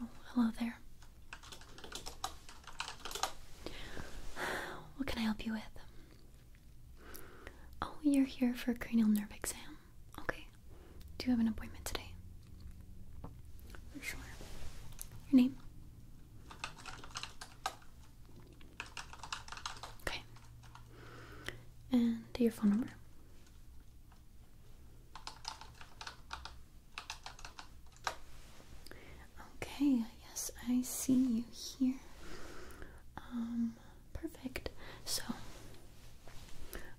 Oh, hello there. What can I help you with? Oh, you're here for a cranial nerve exam. Okay. Do you have an appointment today? For sure. Your name? Okay. And your phone number? Okay, yes, I see you here. Um Perfect. So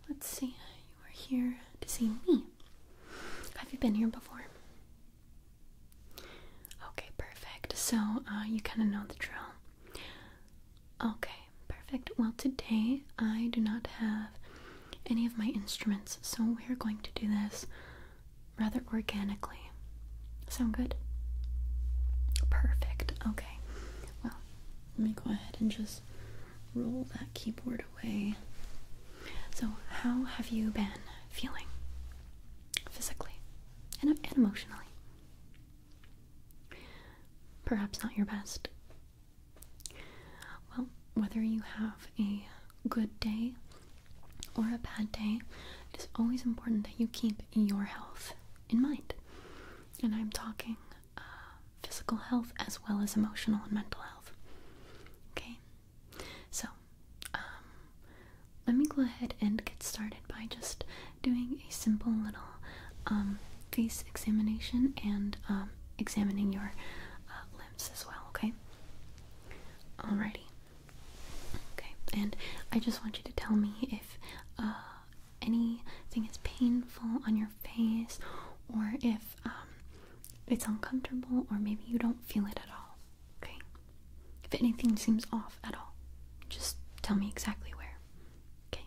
let's see. You are here to see me. Have you been here before? Okay, perfect. So uh, you kind of know the drill. Okay, perfect. Well, today I do not have any of my instruments, so we're going to do this rather organically. Sound good? Perfect. Okay. Well, let me go ahead and just roll that keyboard away. So, how have you been feeling physically and emotionally? Perhaps not your best. Well, whether you have a good day or a bad day, it is always important that you keep your health in mind. And I'm talking um, physical health as well as emotional and mental health. Okay, so um, let me go ahead and get started by just doing a simple little um, face examination and examining your uh, limbs as well. Okay. Alrighty. Okay, and I just want you to tell me if uh, anything is painful on your face or if um, it's uncomfortable or maybe you don't feel it at all. Okay? If anything seems off at all, just tell me exactly where. Okay?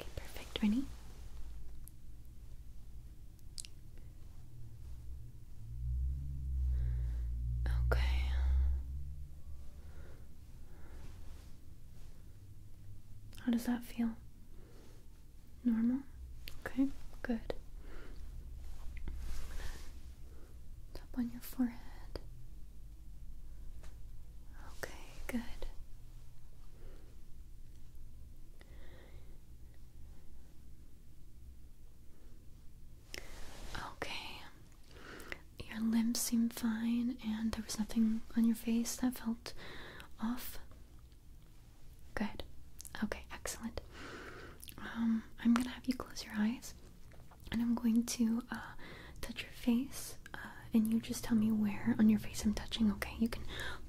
Okay, perfect. Ready? Okay. How does that feel? Normal? Okay, good. Up on your forehead. Okay, good. Okay. Your limbs seem fine and there was nothing on your face that felt off? Good. Okay, excellent. Um, I'm gonna have you close your eyes and I'm going to uh, touch your face uh, and you just tell me where on your face I'm touching, okay? You can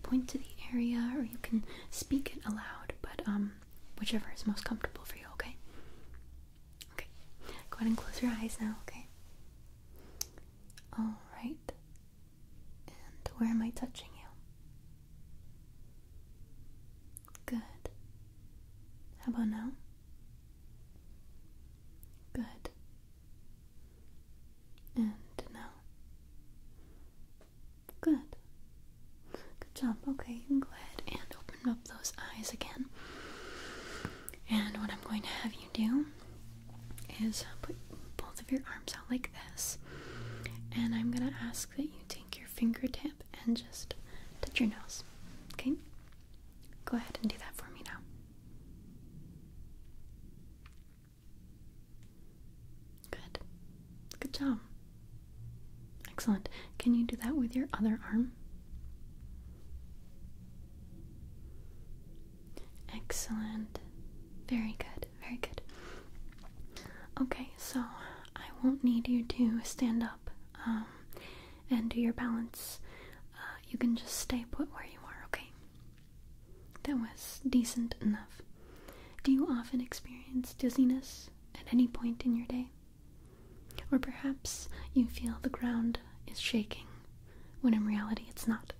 point to the area or you can speak it aloud, but um, whichever is most comfortable for you, okay? Okay, go ahead and close your eyes now, okay? Alright, and where am I touching you? Good. How about now? Good. And now? Good. Good job. Okay, you can go ahead and open up those eyes again. And what I'm going to have you do is put both of your arms out like this, and I'm gonna ask that you take your fingertip and just touch your nose. Okay? Go ahead and do that for me now. Good. Good job. Excellent. Can you do that with your other arm? Excellent. Very good. Very good. Okay, so I won't need you to stand up um, and do your balance. Uh, you can just stay put where you are, okay? That was decent enough. Do you often experience dizziness at any point in your day? Or perhaps you feel the ground is shaking when in reality it's not.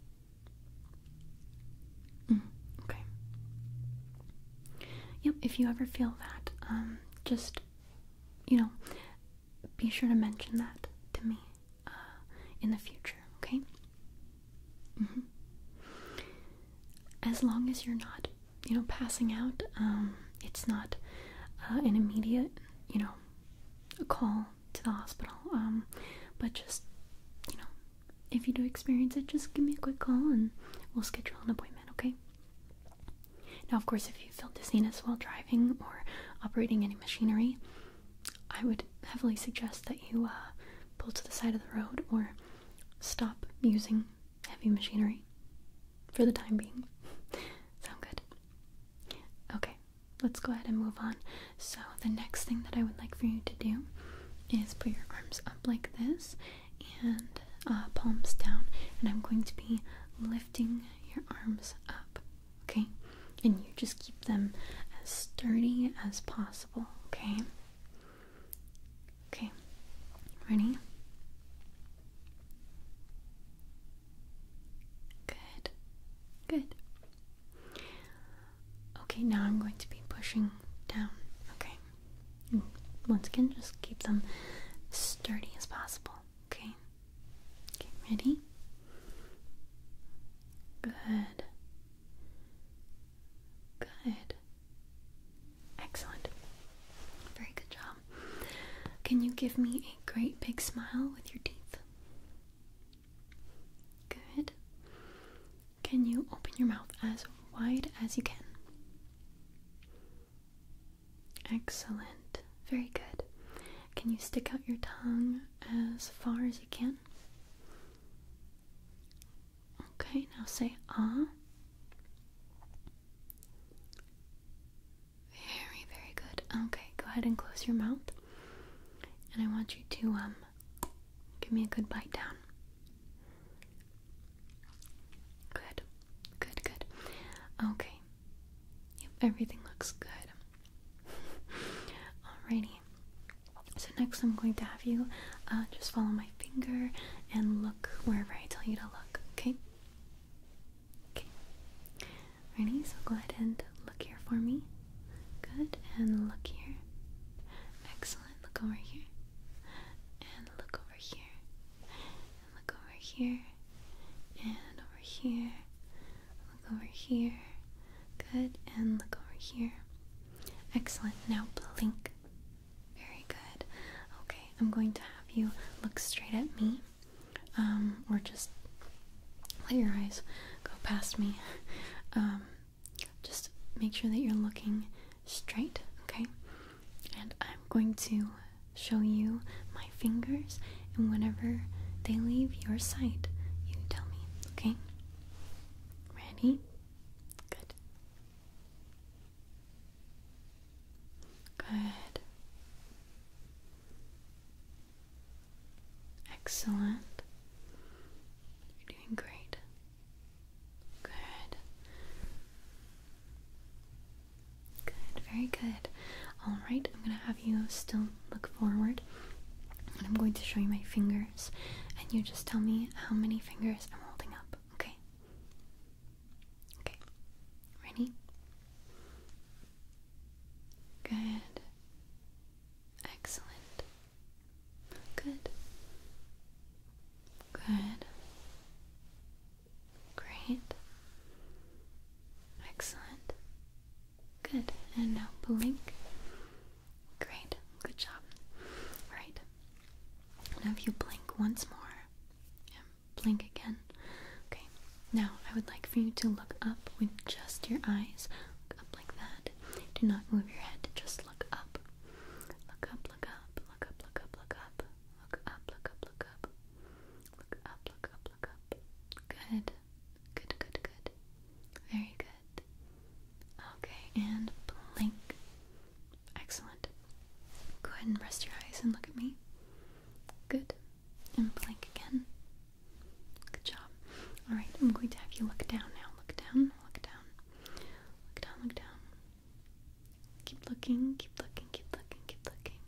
Mm, okay. Yep, if you ever feel that, um, just, you know, be sure to mention that to me uh, in the future, okay? Mm-hmm. As long as you're not, you know, passing out, um, it's not uh, an immediate, you know, call to the hospital. Um, but just you know, if you do experience it, just give me a quick call and we'll schedule an appointment. Okay. Now, of course, if you feel dizziness while driving or operating any machinery, I would heavily suggest that you uh, pull to the side of the road or stop using heavy machinery for the time being. Sound good? Okay let's go ahead and move on. So, the next thing that I would like for you to do is put your arms up like this and uh, palms down, and I'm going to be lifting your arms up, okay? And you just keep them as sturdy as possible, okay? Okay, ready? Good, good. Okay, now I'm going to be pushing down. Okay. once again, just keep them sturdy as possible. Okay. Okay, ready? Good. Good. Excellent. Very good job. Can you give me a great big smile with your teeth? Good. Can you open your mouth as wide as you can? Excellent. Very good. Can you stick out your tongue as far as you can? Okay, now say ah. Very, very good. Okay, go ahead and close your mouth. And I want you to um give me a good bite down. Good. Good, good. Okay. Yep, everything looks good. Alrighty. So next I'm going to have you uh, just follow my finger and look wherever I tell you to look, okay? Okay. Ready? So go ahead and look here for me. Good. And look here. Excellent. Look over here. And look over here. look over here. And over here. Look over here. Good. And look over here. Excellent. Now blink. Very good. Okay, I'm going to have you look straight at me. Um, or just let your eyes go past me. Um, just make sure that you're looking straight, okay? And I'm going to show you my fingers, and whenever they leave your sight, you tell me, okay? Ready? Good. Good. Excellent. You're doing great. Good. Good, very good. Alright, I'm going to have you still look forward. I'm going to show you my fingers. And you just tell me how many fingers I'm holding up, okay? Okay. Ready? Good. Excellent. Good. Good. Great. Excellent. Good. And now blink. Great. Good job. Right. Now if you blink once more. Yeah. Blink again. Okay, now I would like for you to look up with just your eyes. Look up like that. Do not move your head, just look up. Look up, look up, look up, look up, look up. Look up, look up, look up. Look up, look up, look up. Good. Good, good, good. Very good. Okay, and blink. Excellent. Go ahead and rest your eyes and look at me. Good. And blink again. Good job. Alright, I'm going to have you look down now. Look down, look down. Look down, look down. Keep looking, keep looking, keep looking, keep looking.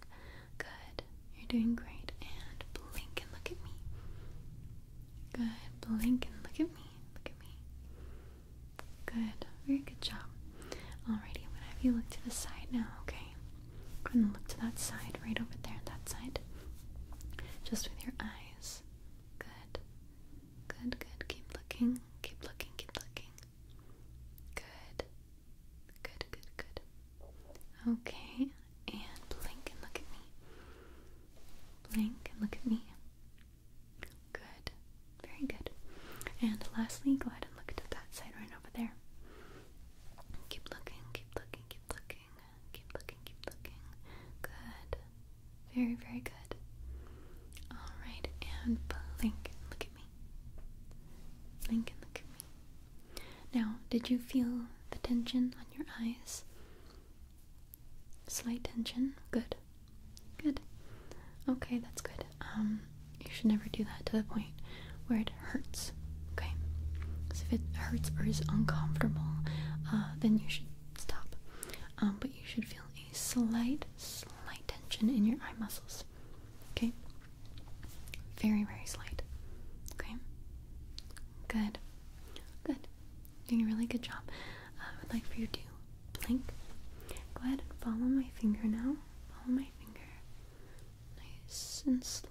Good. You're doing great. And blink and look at me. Good. Blink and look at me. Look at me. Good. Very good job. Alrighty, I'm gonna have you look to the side now, okay? Go ahead and look to that side, right over there, that side. Just with your eyes. Good. Good, good. Keep looking. Keep looking, keep looking. Good. Good, good, good. Okay, and blink and look at me. Blink and look at me. Good. Very good. And lastly, go ahead and look to that side right over there. Keep looking, keep looking, keep looking. Keep looking, keep looking. Good. Very, very good. Alright, and blink. Look at me. Blink look at me. Now, did you feel the tension on your eyes? Slight tension. Good. Good. Okay, that's good. Um, you should never do that to the point where it hurts. Okay, because if it hurts or is uncomfortable, uh, then you should stop. Um, but you should feel a slight, slight tension in your eye muscles. Okay, very, very slight. Okay, good, good. Doing a really good job. Uh, I would like for you to blink. Go ahead and follow my finger now. Follow my finger. Nice and slow.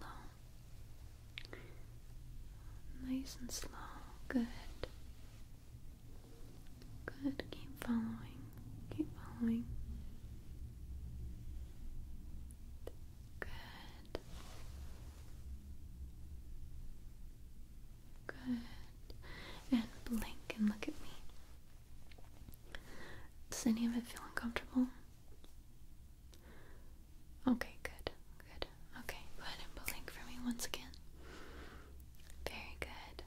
Nice and slow. Good. Good. Keep following. Keep following. Good. Good. And blink and look at me. Does any of it feel uncomfortable? Okay, good, good. Okay, go ahead and blink for me once again. Very good.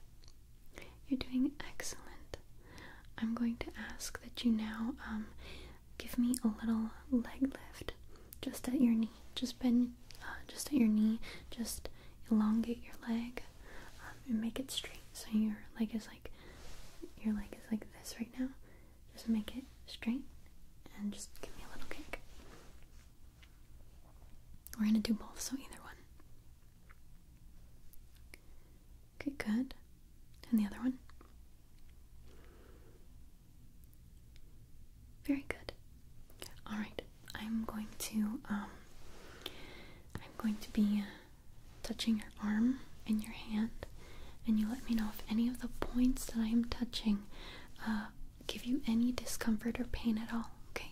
You're doing excellent. I'm going to ask that you now um, give me a little leg lift just at your knee. Just bend, uh, just at your knee. Just elongate your leg um, and make it straight. So your leg is like, your leg is like this right now. Just make it straight and just give me a little kick. We're gonna do both, so either one. Okay, good. And the other one. Very good. All right, I'm going to um, I'm going to be uh, touching your arm and your hand, and you let me know if any of the points that I am touching uh, give you any discomfort or pain at all, okay?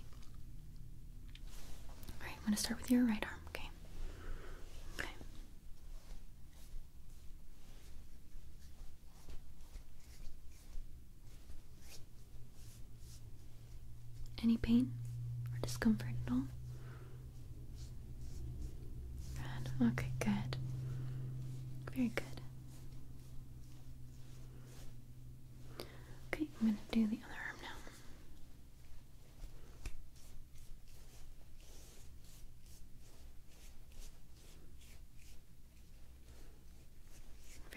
Alright, I'm gonna start with your right arm, okay? Okay. Any pain or discomfort at all? Red. Okay, good. Very good. Okay, I'm going to do the other arm now.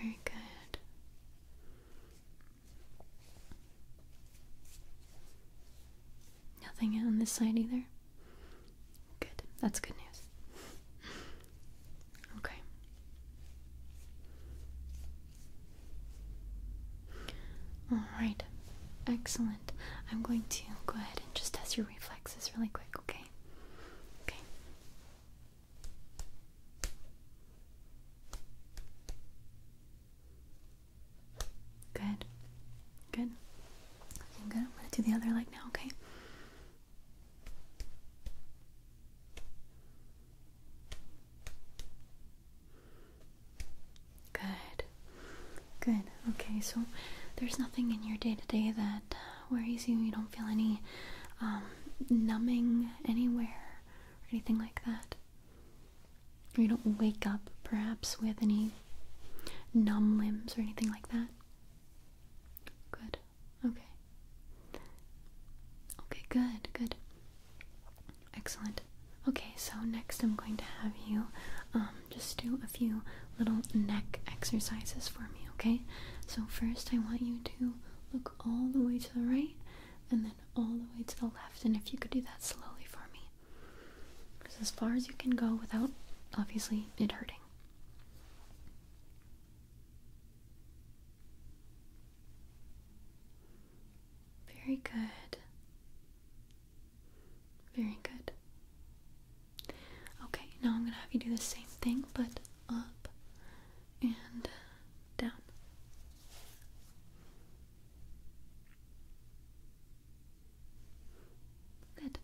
Very good. Nothing on this side either? Good. That's good news. Okay. Alright. Excellent. I'm going to go ahead and just test your reflexes really quick, okay? Okay. Good. Good. i good. I'm gonna do the other leg now, okay? Good. Good. Okay, so there's nothing in your day to day that uh, worries you. You don't feel any um, numbing anywhere or anything like that. You don't wake up perhaps with any numb limbs or anything like that? Good. Okay. Okay, good, good. Excellent. Okay, so next I'm going to have you um, just do a few little neck exercises for me, okay? So first I want you to look all the way to the right and then all the way to the left. And if you could do that slowly for me, as far as you can go without, obviously, it hurting. Very good. Very good. Okay, now I'm gonna have you do the same thing, but up and down. Good.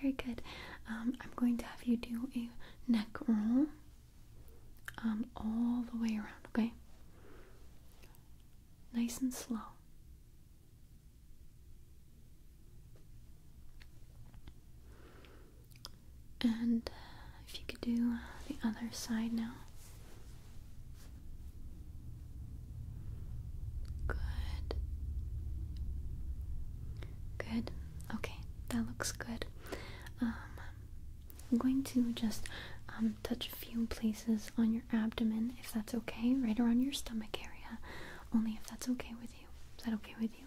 Very good. Um, I'm going to have you do a neck roll um, all the way around, okay? Nice and slow. And uh, if you could do uh, the other side now. Good. Good. Okay, that looks good. Um, I'm going to just um, touch a few places on your abdomen, if that's okay, right around your stomach area. Only if that's okay with you. Is that okay with you?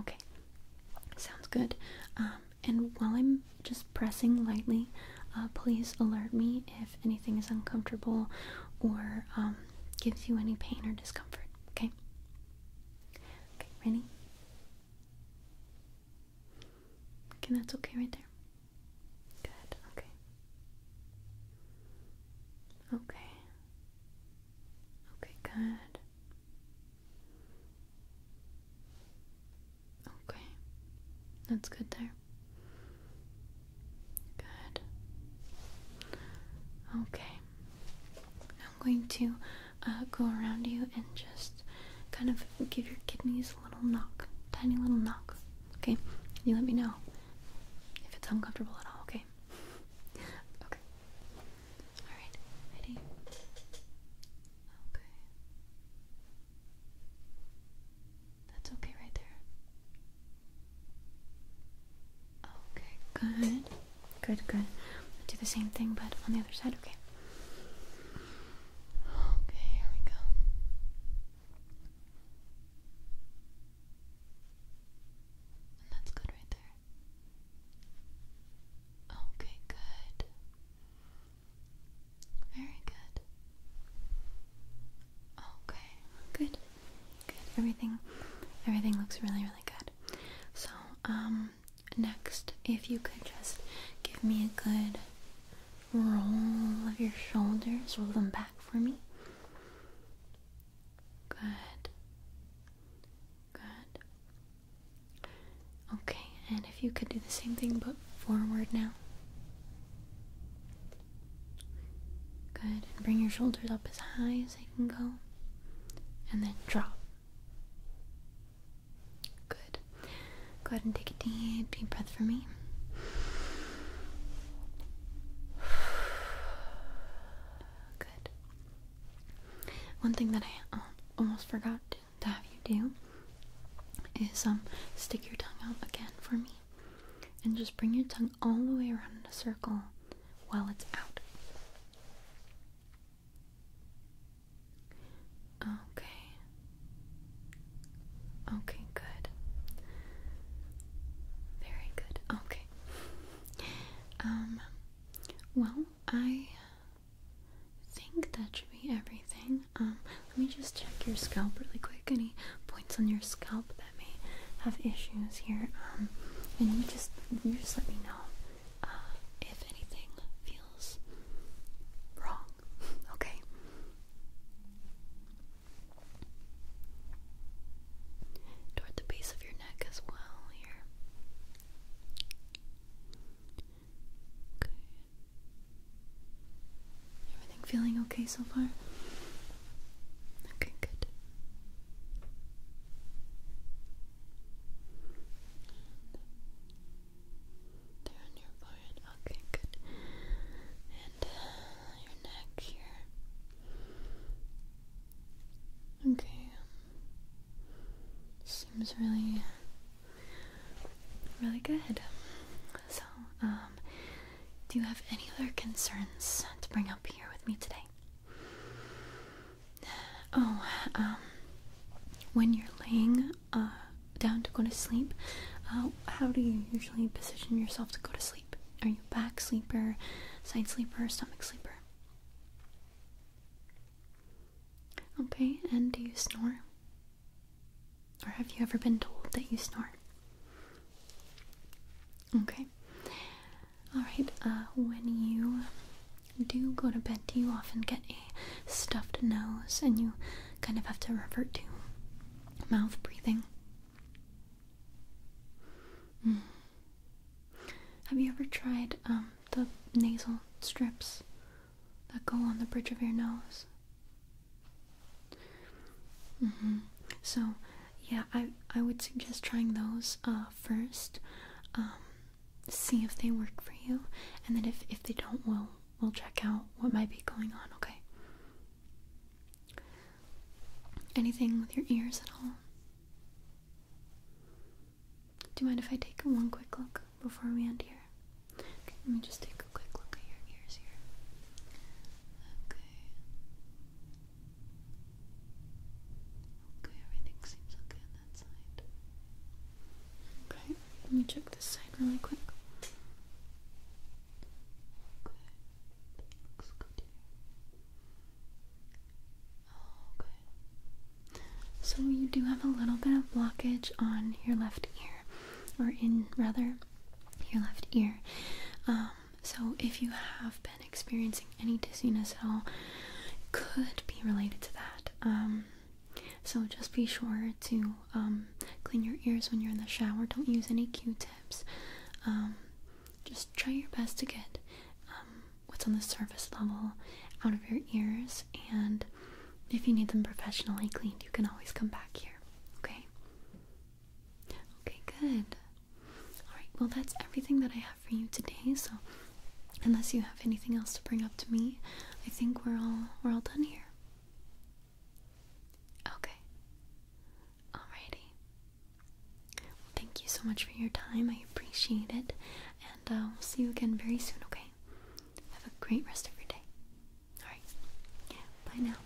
Okay, sounds good. Um, and while I'm just pressing lightly, uh, please alert me if anything is uncomfortable or um, gives you any pain or discomfort. Okay? Okay, ready? Okay, that's okay right there. Good, okay. Okay. Okay, good. Okay. That's good there. Good. Okay. I'm going to uh, go around you and just kind of give your kidneys a little knock. Tiny little knock. Okay? You let me know if it's uncomfortable at all, okay? okay. Alright. Ready? Okay. That's okay right there. Okay, good. Good, good. do the same thing but on the other side, okay? Okay, here we go. that's good right there. Okay, good. Very good. Okay, good. Good. Everything everything looks really, really good. So, um next if you could just give me a good roll of your shoulders, roll them back for me. Good. Good. Okay, and if you could do the same thing but forward now. Good. And bring your shoulders up as high as they can go. And then drop. Good. Go ahead and take a deep, deep breath for me. Good. One thing that I um, almost forgot to have you do is um stick your tongue out again for me and just bring your tongue all the way around in a circle while it's out. Okay. Okay, good. Very good. Okay. Um, well, I think that should be everything. Um, let me just check your scalp really quick. Any points on your scalp that may have issues here? Um, and you just just let me know uh, if anything feels wrong. okay. Toward the base of your neck as well here. Okay, Everything feeling okay so far? Okay, good. There on your forehead. Okay, good. And uh, your neck here. Okay. Um, seems really Really good. So, um, do you have any other concerns to bring up here with me today? Oh, um, when you're laying uh, down to go to sleep, uh, how do you usually position yourself to go to sleep? Are you back sleeper, side sleeper, stomach sleeper? Okay, and do you snore? Or have you ever been told that you snore? Okay. Alright, uh, when you do go to bed, do you often get a stuffed nose and you kind of have to revert to mouth breathing? Hmm. Have you ever tried um, the nasal strips? that go on the bridge of your nose. Mm-hmm. So, yeah, I I would suggest trying those uh, first. Um, see if they work for you, and then if if they don't, we'll we'll check out what might be going on. Okay. Anything with your ears at all? Do you mind if I take one quick look before we end here? let me just take a quick look at your ears here. Okay. Okay, everything seems okay on that side. Okay, let me check this side really quick. Okay, looks good here. Oh, okay. So you do have a little bit of blockage on your left ear, or in rather your left ear. Um, so if you have been experiencing any dizziness at all, it could be related to that. Um, so just be sure to um, clean your ears when you're in the shower. Don't use any Q-tips. just try your best to get what's on the surface level out of your ears and if you need them professionally cleaned, you can always come back here. Okay? Okay, good. Alright, well, that's everything that I have for you today. So, unless you have anything else to bring up to me, I think we're all we're all done here. Okay. Alrighty. thank you so much for your time. I appreciate it, and uh, we'll see you again very soon. Okay? Have a great rest of your day. Alright. bye now.